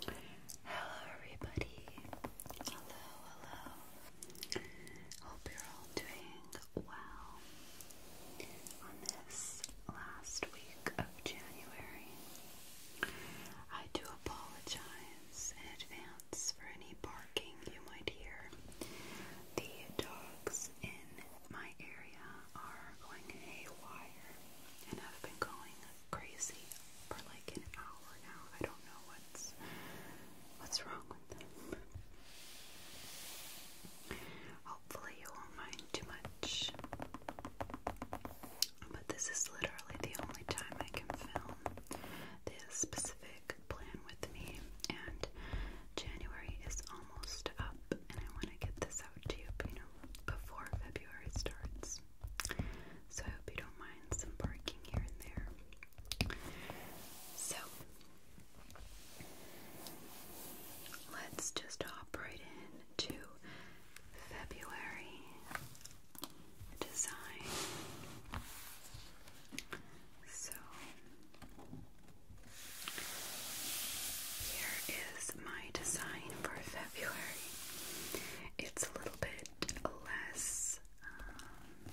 Hello, everybody. Hello, hello. Hope you're all doing well on this last week of January. I do apologize in advance for any barking you might hear. The dogs in my area are going haywire and have been going crazy for like an hour now. I don't know what's what's wrong with them. Hopefully you won't mind too much. But this is literally the only time I can film this specific plan with me, and January is almost up, and I want to get this out to you, you know, before February starts. So I hope you don't mind some barking here and there. So let's just hop right in February design. So here is my design for February. It's a little bit less um,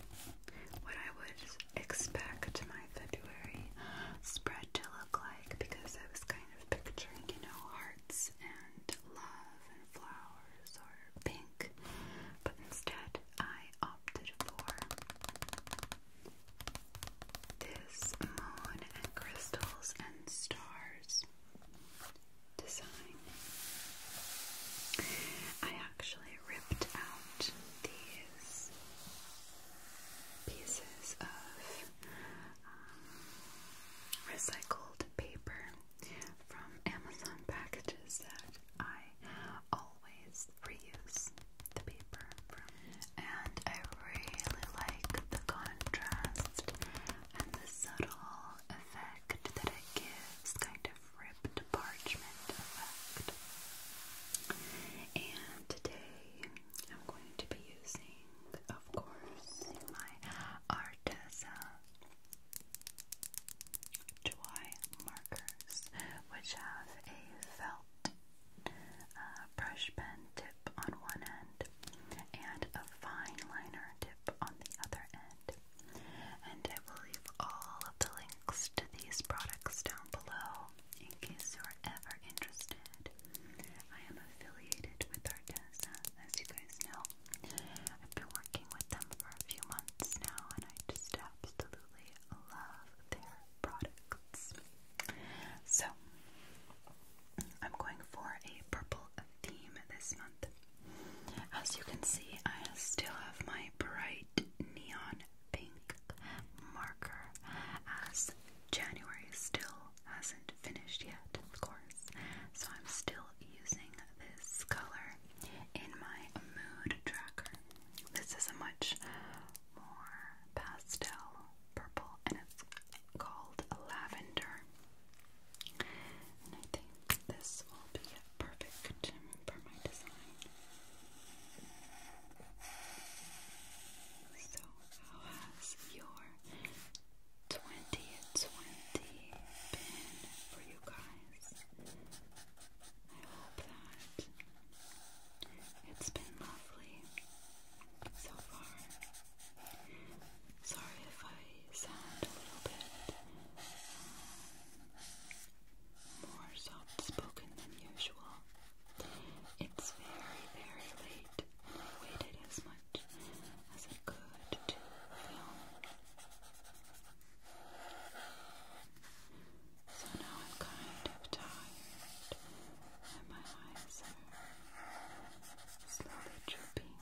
what I would expect my February spread to look like because I was kind of picturing, you know, hearts and love and flowers or pink, but instead I opted for this moon and crystals and stars design. I actually ripped out these pieces of um, recycled paper from Amazon packages that I all always reuse the paper And I really like the contrast and the subtle effect that it gives, kind of ripped parchment effect. And today I'm going to be using, of course, my Arteza dry markers, which have a felt uh, brush pen tip on one end and a fine liner tip on the other end. And I will leave all of the links to these products down below in case you are ever interested. I am affiliated with Arteza, as you guys know. I've been working with them for a few months now, and I just absolutely love their products. So, I'm going for a purple theme this month. As you can see, I still have my bright neon pink marker as January still hasn't finished yet, of course. So, I'm still using this color in my mood tracker. This is a much more pastel purple and it's called lavender. And I think this will be perfect for my design. So, how has your 2020 been for you guys? I hope that it's been lovely so far. Sorry if I sound a little bit uh, more soft spoken than usual. It's very, very late, I waited as much as I could to film. So now I'm kind of tired, and my eyes are slowly drooping,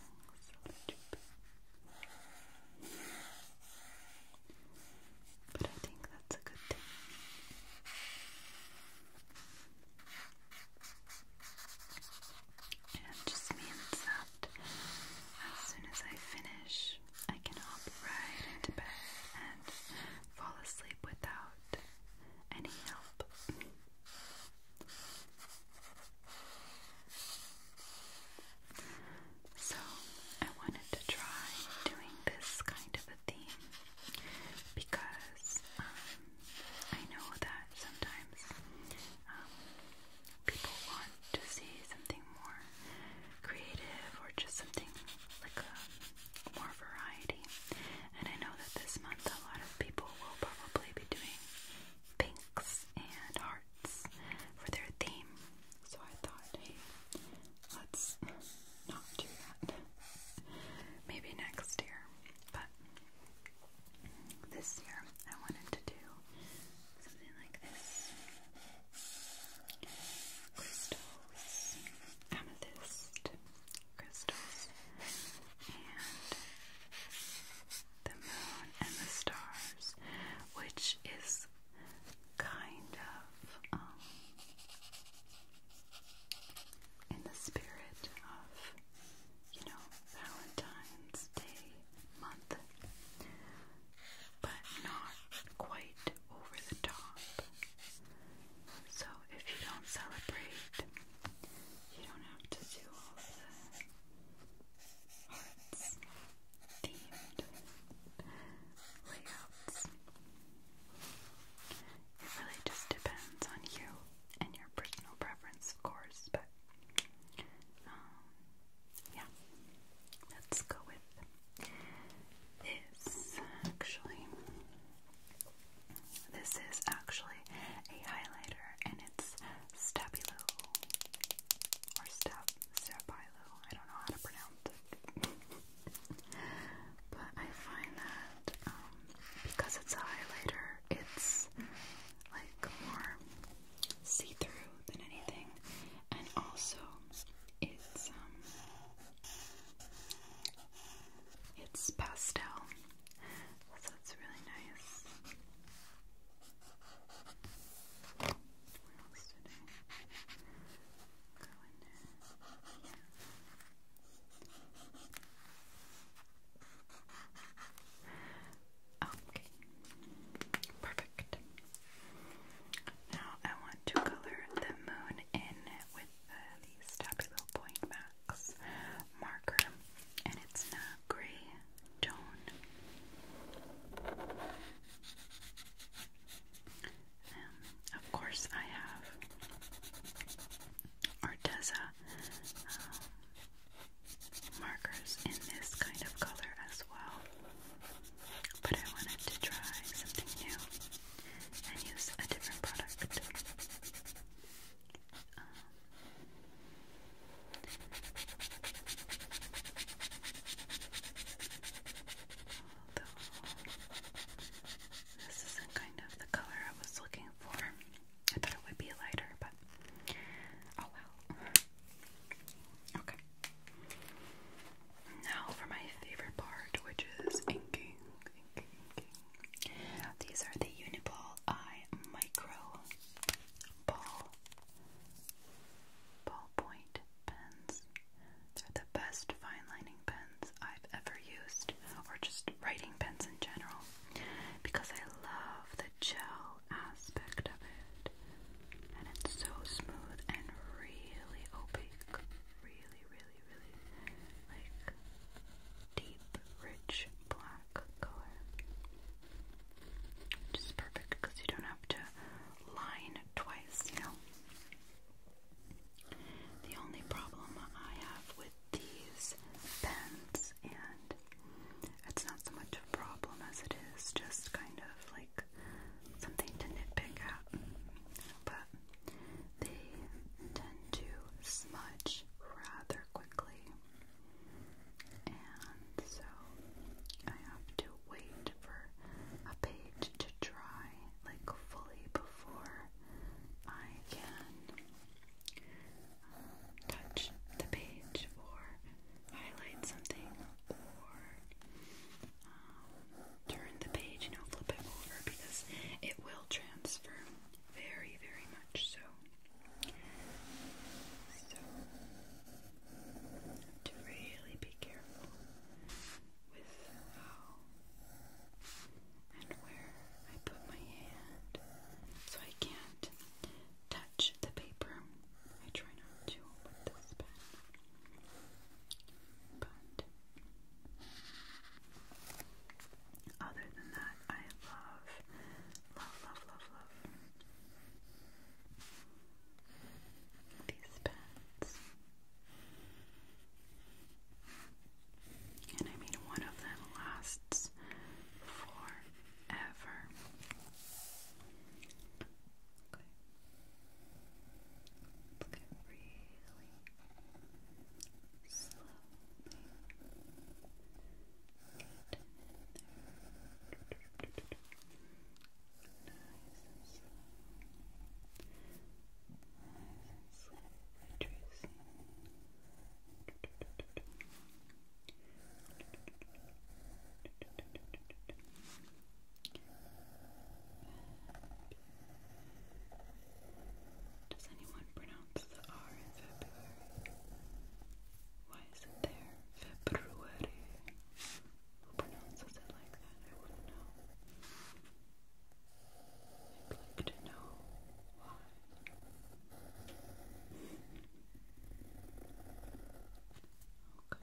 But I think that's a good thing. And just means that as soon as I finish I can hop right into bed and fall asleep without any help. So, I wanted to try doing this kind of a theme because um, I know that sometimes um, people want to see something more creative or just something like a, more variety. And I know that this month a lot of people will probably be doing pinks and hearts for their theme. So I thought, hey, let's not do that. Maybe next year. But this year I wanted to do something like this amethyst crystals, and the moon and the stars, which is kind of um, in the spirit of, you know, Valentine's Day month but not quite over the top. So if you don't celebrate, you don't have to do all the hearts themed layouts. It really just depends on you and your personal preference, of course, but um, yeah, let's go with this actually. This is actually a highlighter and it's Stabilo or Stab Stabilo. I don't know how to pronounce it. but I find that um because it's a highlighter, it's like more see-through than anything and also it's um, it's pastel, so it's really nice. What else did go in there? Okay, perfect. Now I want to color the moon in with uh, Stubby Little Point Max marker, and it's a gray tone. Um, of course, I have Arteza um, markers in this kind of color as well but I wanted to try something new and use a different product. Um, this isn't kind of the color I was looking for, I thought it would be lighter, but oh well. Okay. Now for my favorite part, which is inking. These are the Uniball Eye Micro Ball Ballpoint pens. They're the best fine lining pens I've ever used, or just writing pens in general, because I love the gel aspect of it and it's so smooth and really opaque, really, really, really like deep, rich black color. Which is perfect because you don't have to line twice, you know. The only problem I have with these pens, and it's not so much a problem as it is just kind of like something to nitpick at, but they tend to smudge rather quickly, and so I have to wait for a page to dry like fully before I can uh, touch the page or highlight something or um, turn the page, you know, flip it over because it will transfer very, very much so. to really be careful with how and where I put my hand so I can't touch the paper. I try not to with this pen. But other than that, I love, love, love, love, love these pens. And I mean, one of them lasts forever. Okay. Look at really slowly. Get in there. Nice does anyone pronounce the R in February? Why is it there? February. Who pronounces it like that? I wouldn't know. would like to know why. Okay.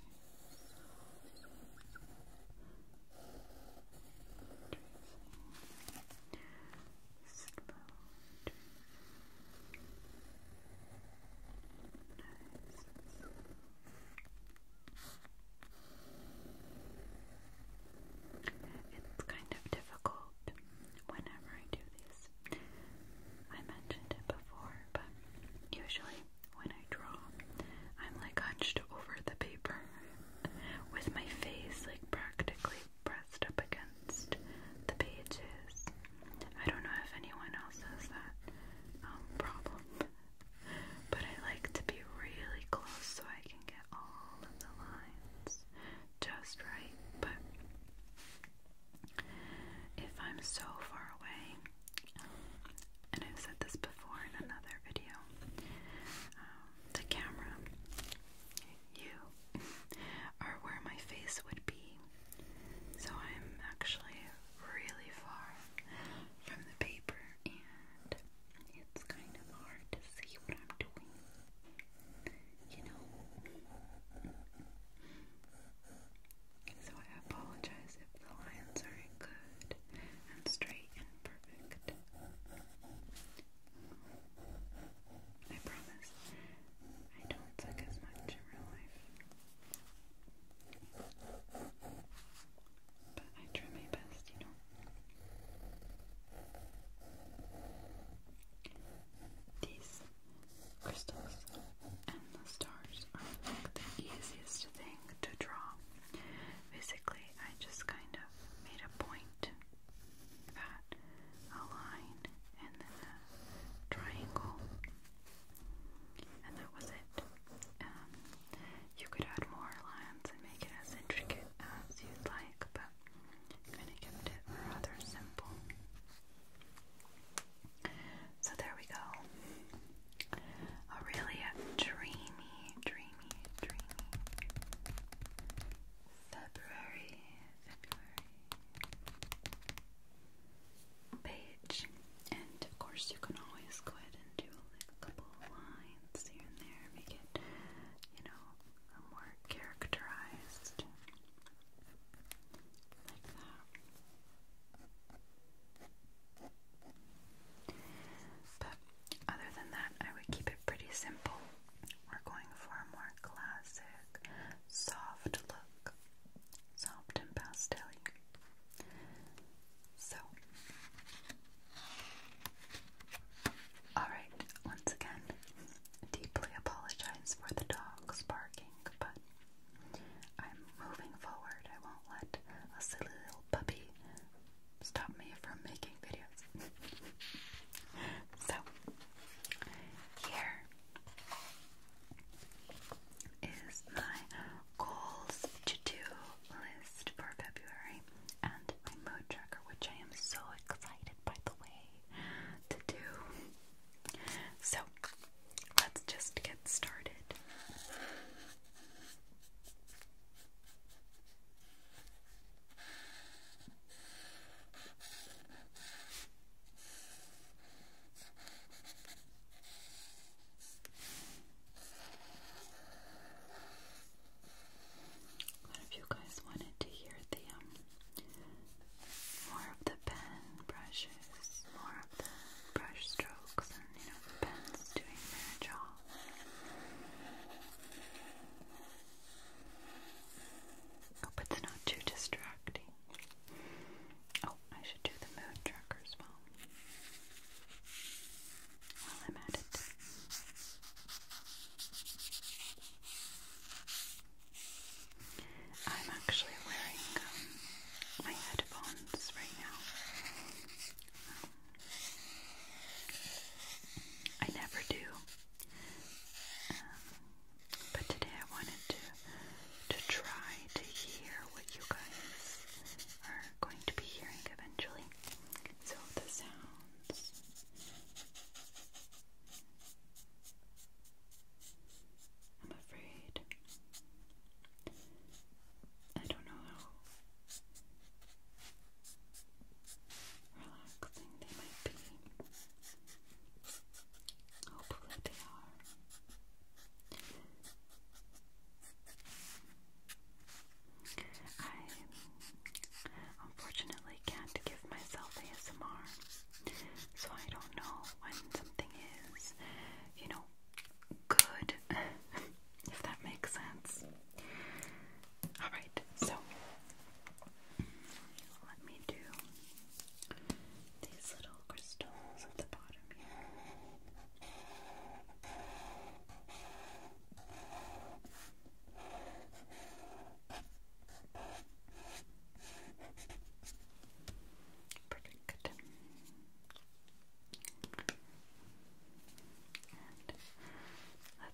It's kind of difficult whenever I do these. I mentioned it before, but usually when I draw, I'm like hunched over the paper with my face like practically pressed up against the pages. I don't know if anyone else has that um, problem, but I like to be really close so I can get all of the lines just right. But if I'm so far away, and I've said this before in another video, um, the camera, you, are where my face would be. So I'm actually really far from the paper and it's kind of hard to see what I'm doing. You know? So I apologize if the lines aren't good and straight perfect. I promise, I don't suck as much in real life. But I try my best, you know. These crystals and the stars are like the easiest thing to draw. Basically, I just kind of made a point a line and then a triangle, and that was it. Um, you could add more lines and make it as intricate as you'd like, but I kind of kept it rather simple. So there we go a really dreamy, dreamy, dreamy February, February page. And of course, you can always go ahead and do a couple of lines here and there, make it, you know, more characterized like that other than that, I would keep it pretty simple. We're going for a more classic, soft look, soft and pastel. So, alright, once again, deeply apologize for the dogs barking, but I'm moving forward. I won't let a silly little puppy stop me from making videos. so, here is my goals to do list for February and my mood tracker, which I am so excited by the way to do. So, let's just get started. What if you guys wanted to hear the um, more of the pen brushes, more of the brush strokes and you know the pens doing their job? Hope oh, it's not too distracting. Oh, I should do the mood tracker as well. While I'm at it. I'm actually wearing um, my headphones right now. I never do. Um, but today I wanted to to try to hear what you guys are going to be hearing eventually. So the sounds I'm afraid I don't know how relaxing they might be. Hopefully, they are. I unfortunately can't give myself ASMR, so I don't know when something is, you know, good, if that makes sense. Alright, so let me do these little crystals at the bottom here. Perfect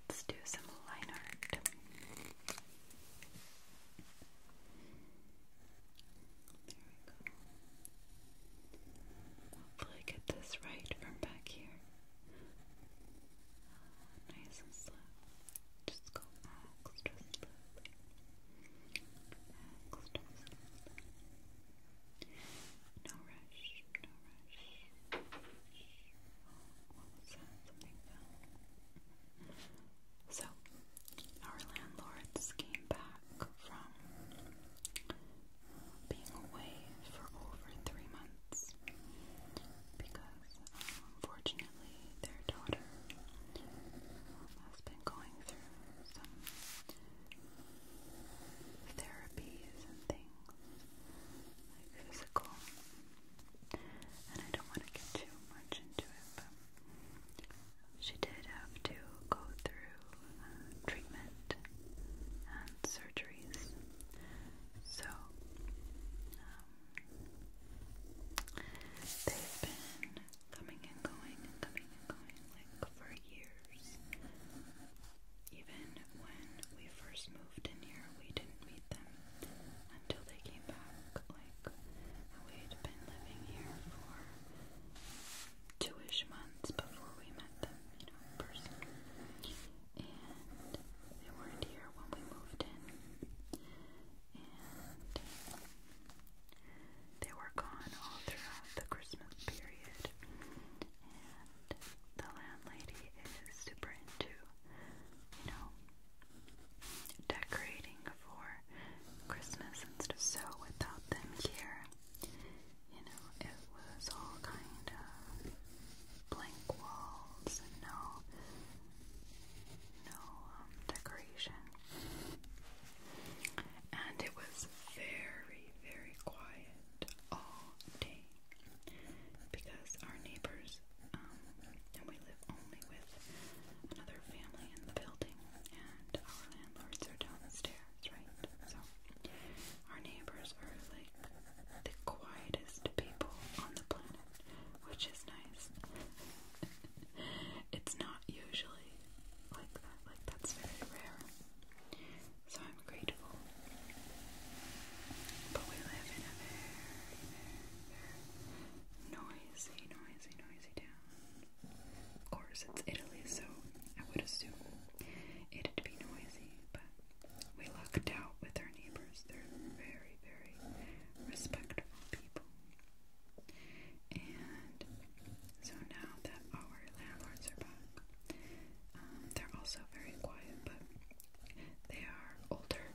let's do some line art. There we go. Hopefully get this right from back here. nice and slow. Just go No rush, so, our landlords came back from being away for over three months because, unfortunately, their daughter has been going through some therapies and things like physical. And I don't want to get too much into it, but she did have to go through uh, treatment and surgeries. So, um, they've been coming and going and coming and going like for years. Even when we first moved in here, we didn't meet them until they came back. Like, we'd been living here for two ish months before we met them, you know, person. And they weren't here when we moved in. And they were gone all throughout the Christmas period and the landlady is super into, you know, decorating for Christmas and stuff. So without them here, you know, it was all kind of blank walls no, no um, decoration. And it was very, very quiet all day because our neighbors, um, and we live only with another family in the building, and our landlords are downstairs, right? So, our neighbors are like the quietest people on the planet, which is nice. it's not usually like that, like, that's very rare. So I'm grateful. But we live in a very, noisy, noisy, noisy town. Of course, it's Italy, so I would assume it'd be noisy, but we lucked out with our neighbors. They're very, very respectful people. And so now that our our are back. Um, they're also very quiet, but they are older.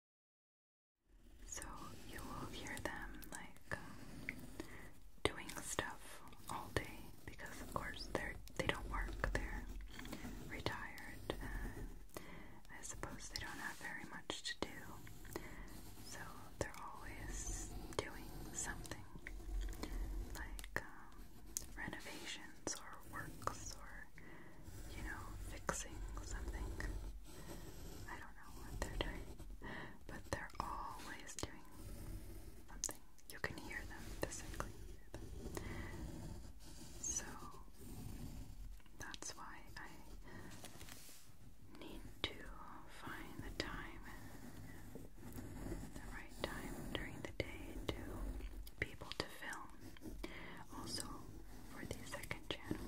So you will hear them like um, doing stuff all day because of course they're they don't work, they're retired and I suppose they don't have very much to do. So they're always doing something like um, renovations or works or you know, fixing something. I don't know what they're doing, but they're always doing something. You can hear them physically. So that's why I need to find the time, the right time during the day to be to film. Also, for the second channel.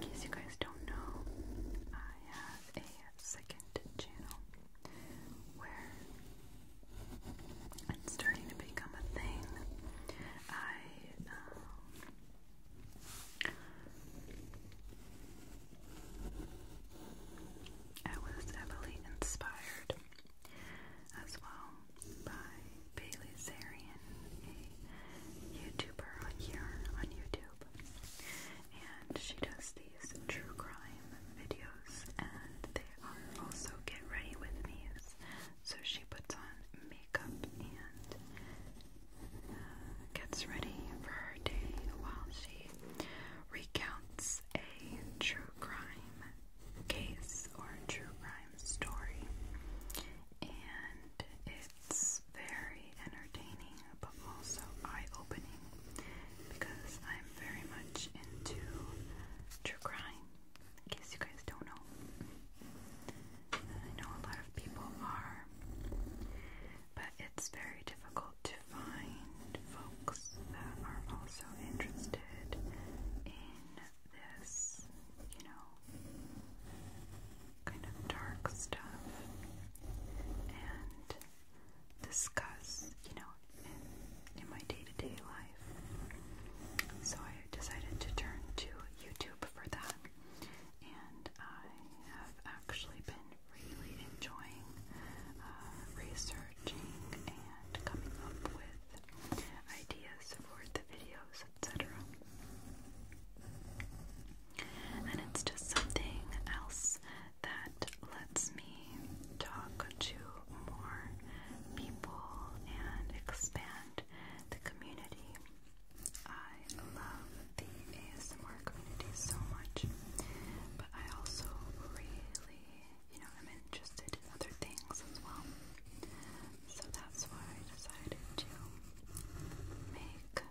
In case you guys don't know, I have a second channel where it's starting to become a thing. I um, I was heavily inspired as well by Bailey Zeri a YouTuber here on YouTube, and she does these true crime videos, and they are also get ready with me's. So she puts on makeup and uh, gets ready for her day while she recounts a true crime case or true crime story. And it's very entertaining but also eye-opening because I'm very much into true crime, in case you guys don't know. I know a lot of people are, but it's very difficult to find folks that are also interested in this, you know, kind of dark stuff and discuss, you know, in, in my day to day life. So I decided to turn to YouTube for that, and I have actually been really enjoying uh, researching and coming up with ideas for the videos etc. And it's just something else that lets me talk to more people and expand the community. I love the ASMR community so much, but I also really, you know, am interested in other things as well. So that's why I decided to make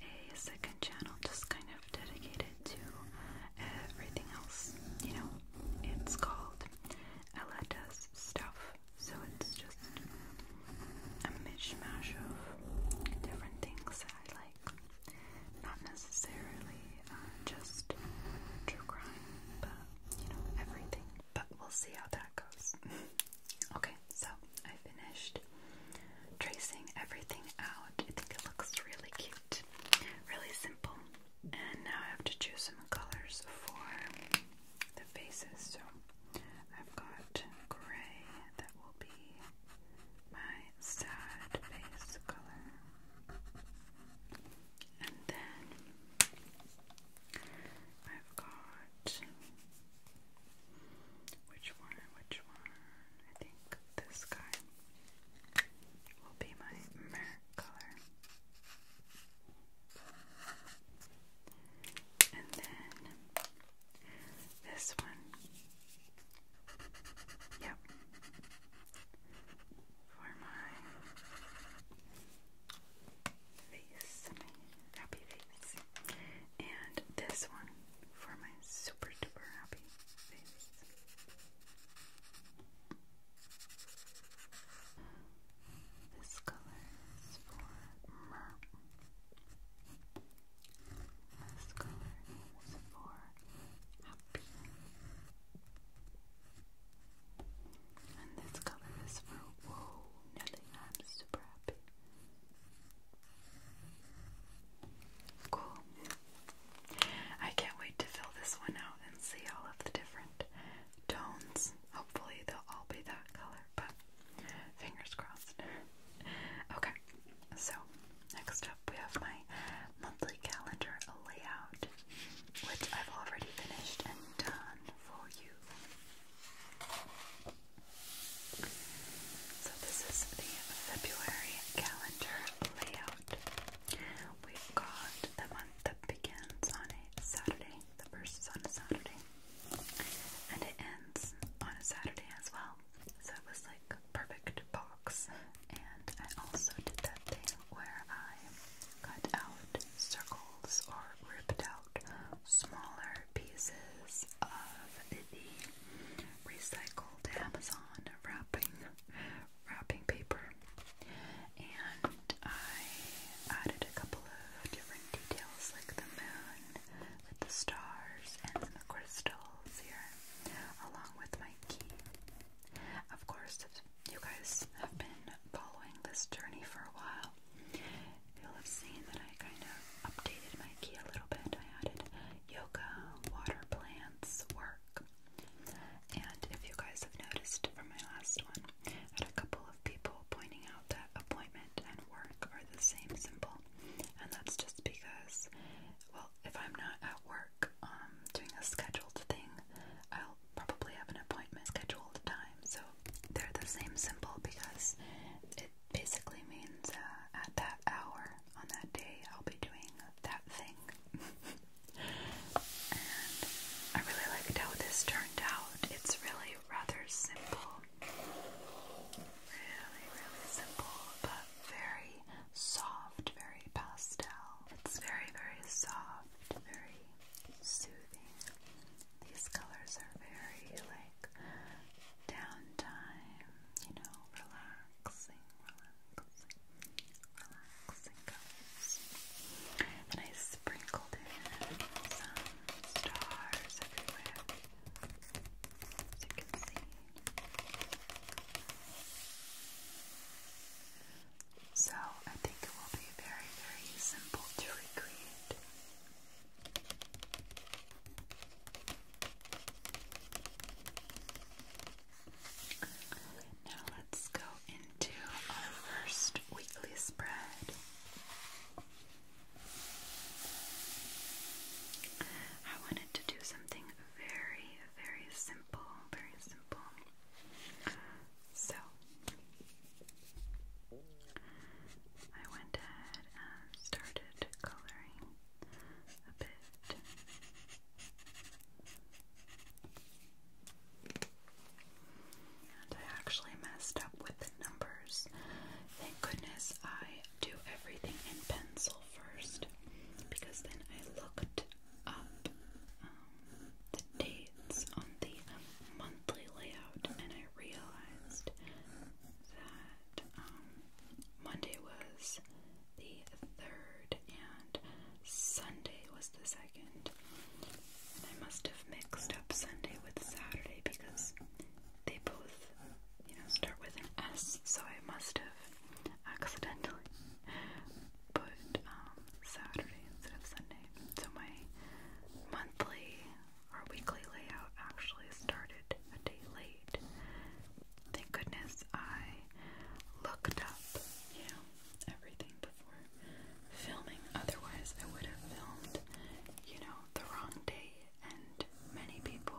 a second channel just kind of dedicated to everything else. You know, it's called Ella Does Stuff, so it's just a mishmash of different things that I like. Not necessarily uh, just true crime, but you know, everything. But we'll see how that goes. okay so I finished tracing everything out. I think it looks really cute, really simple. And now I have to choose some colors for the faces. So I've got gray, that will be my sad face color. And then I've got which one? Which one? I think this guy will be my mirror color. And then this one. Yep. For my face happy face. And this one for my super duper happy face. This color is for Merp. This color is for Happy. And this color is for Whoa, Nelly, I'm super happy. Cool. I can't wait to fill this one out and see all of the different tones. Hopefully, they'll all be that color, but fingers crossed. okay, so next up we have my monthly calendar layout, which I've already finished and done for you. So this is the February calendar layout. We've got the month that begins on a Saturday. The first is on a Saturday. And it ends on a Saturday as well. So it was like perfect box. And I also did that thing where I cut out circles or ripped out smaller pieces of the recycled Amazon wrapping wrapping paper, and I added a couple of different details like the moon with the stars and some crystals here, along with my key. Of course, you guys have been following this journey for a while you'll have seen that I kind of updated my key a little bit. I added yoga, water plants, work. And if you guys have noticed from my last one, I had a couple of people pointing out that appointment and work are the same symbol. And that's just because, well, if I'm not at work um, doing a scheduled thing, I'll probably have an appointment scheduled time. So they're the same symbol because basically means uh, at that hour on that day I'll be doing that thing. and I really liked how this turned out. It's really rather simple. Really, really simple, but very soft, very pastel. It's very, very soft, very soothing, these colors are very like downtime, you know, relaxing, relaxing, relaxing colors. And I sprinkled in some stars everywhere, as you can see. So I think it will be very, very simple to recreate. Now let's go into our first weekly spread. I wanted to do something very, very simple, very simple. So I went started coloring a bit. And I actually messed up with the numbers. Thank goodness I do everything in pencil first because then I looked up um, the dates on the monthly layout and I realized that um, Monday was the third and Sunday was the second. I must have mixed up Sunday with Saturday because they both, you know, start with an S, so I must have accidentally put um, Saturday instead of Sunday. So my monthly our weekly layout actually started a day late. Thank goodness I looked up, you know, everything before filming. Otherwise, I would have filmed, you know, the wrong day. And many people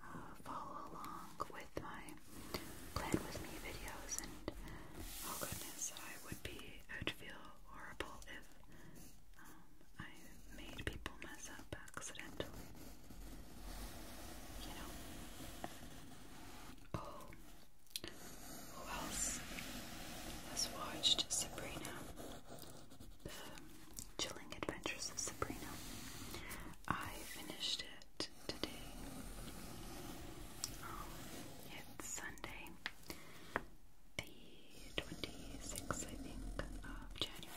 uh, follow along with my plan with me videos, and oh goodness, I would be, I would feel horrible if um, I made people mess up accidentally. You know? Oh, who else has watched Sabrina? The Chilling Adventures of Sabrina. I finished it today. Um, it's Sunday, the 26th, I think, of January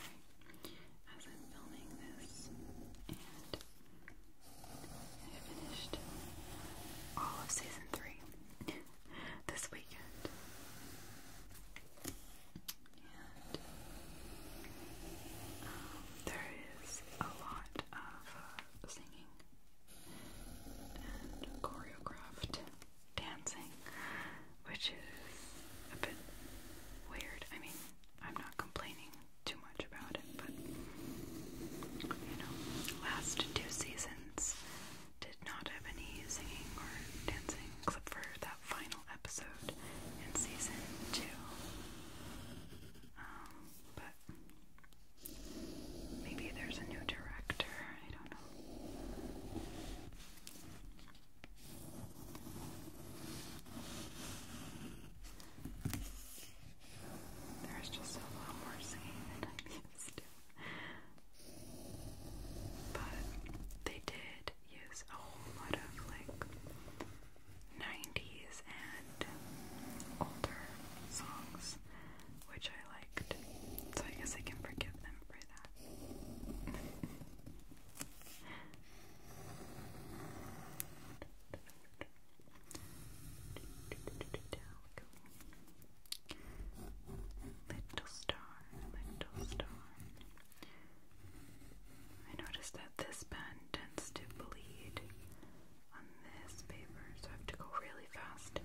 as I'm filming this, I finished all of season three this weekend. Um, there is a lot of uh, singing and choreographed dancing, which is a bit weird. I mean, I'm not complaining too much about it, but you know, last two seasons did not have any singing or dancing clip for that final episode in season two. Um, but maybe there's a new director, I don't know. There's just a lot more singing than I'm used to. But they did use a lot of like 90s and older songs, which I liked. So I guess I can forgive them for that. Little star, little star. I noticed that this pen tends to bleed on this paper, so I have to go really fast.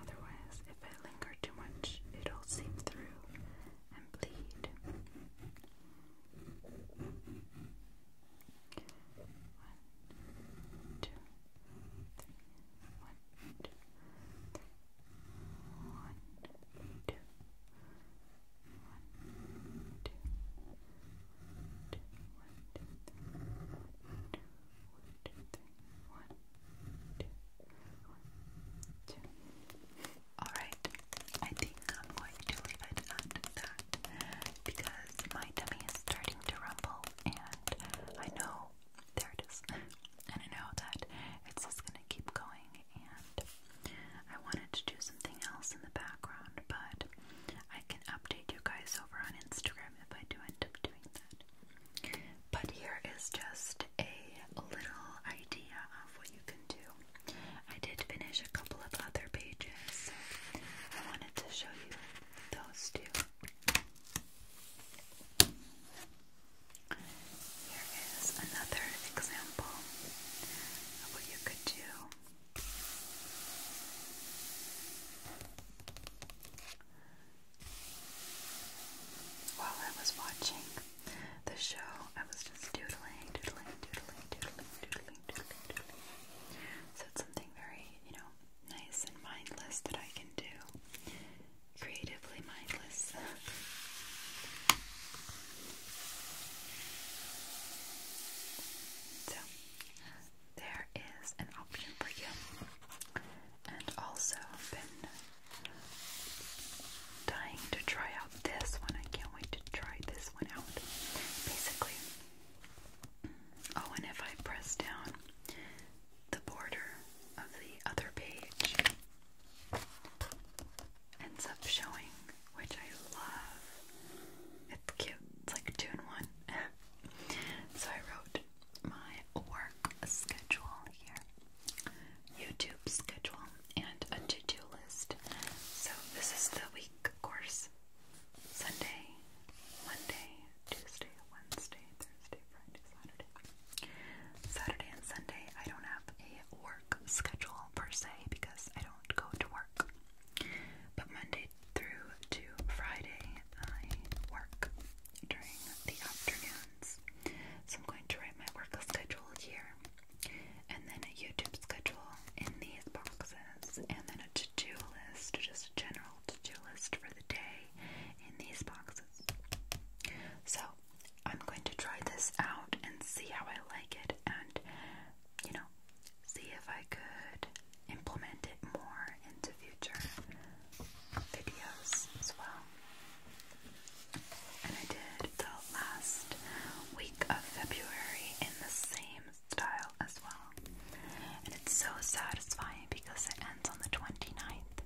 Otherwise, if I linger too much, it'll seep through and bleed. One, two, three, one, two, three, one, two, one, two, one, two, one, two, one, two, one, two, one, two, one, two, Alright, I think I'm going to leave it at that because my tummy is starting to rumble and I know, there it is, and I know that it's just going to keep going and I wanted to do something else in the background but I can update you guys over on Instagram if I do end up doing that. But here is just a little idea of what you can do. I did finish a couple of other pages, I wanted to show you those two. Here is another example of what you could do. While I was watching the show, I was just doodling, doodling, doodling, doodling, doodling, doodling, doodling. So it's something very, you know, nice and mindless that I can do. Creatively mindless. so, there is an option for you. And also, been dying to try out this one. I can't wait to try this one out. Basically, oh, and if I press down the border of the other page, ends up showing, which I love. It's cute. It's like two in one. so I wrote my work schedule here. YouTube schedule and a to-do list. So this is the week of course. Sunday, Monday, Tuesday, Wednesday, Thursday, Friday, Saturday. Saturday and Sunday I don't have a work schedule per se because I don't go to work. But Monday through to Friday I work during the afternoon so I'm going to write my work schedule here, and then a YouTube schedule in these boxes, and then a to-do list, just a general to-do list for the day in these boxes. So I'm going to try this out and see how I like it, and you know, see if I could implement it more into future videos as well and I did the last week of February in the same style as well. And it's so satisfying because it ends on the 29th,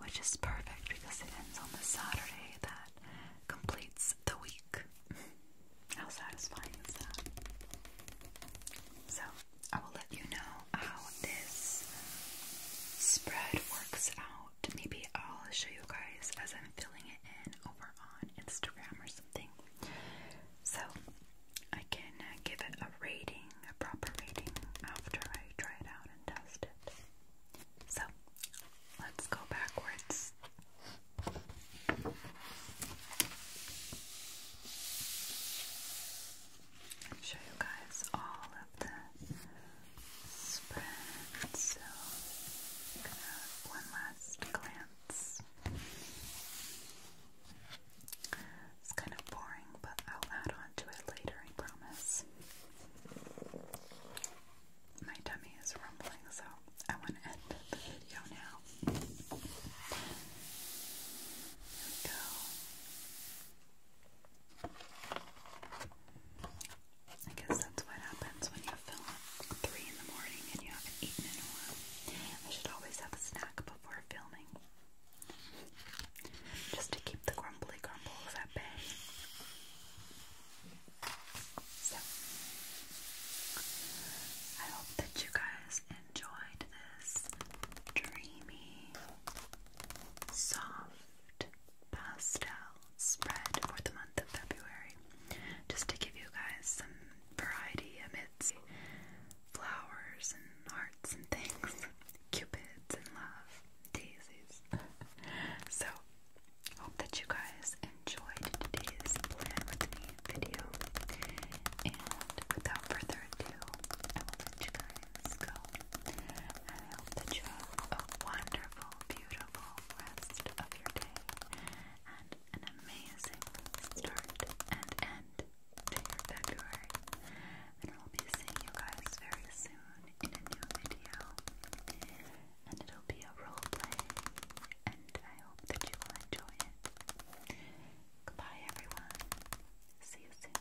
which is perfect because it ends on the Saturday that completes the week. how satisfying is that? So, I will let you know how this spread works out. Maybe I'll show you guys as I'm filling it in over on Instagram or something. So I can uh, give it a rating, a proper rating, after I try it out and test it. So let's go backwards. show you guys all of the so, i gonna one last glance. It's kind of boring, but I'll add on to it later, I promise. My tummy is rumbling, so I want to end the video now. There we go. I guess that's what happens when you film at 3 in the morning and you haven't eaten in a while. I should always have a snack before filming. Just to keep the grumbly grumbles at bay. So, I hope that you guys enjoyed this dreamy, soft, pastel spread for the month of February, just to give you guys some variety amidst flowers and hearts and things, cupids and love, daisies. so, hope that you guys enjoyed today's plan with me video, and without further ado, I will let you guys go. I hope that you have a wonderful, beautiful enjoyable rest of your day and an amazing start and end to February. And I'll be seeing you guys very soon in a new video. And it'll be a roleplay, and I hope that you will enjoy it. Goodbye, everyone. See you soon.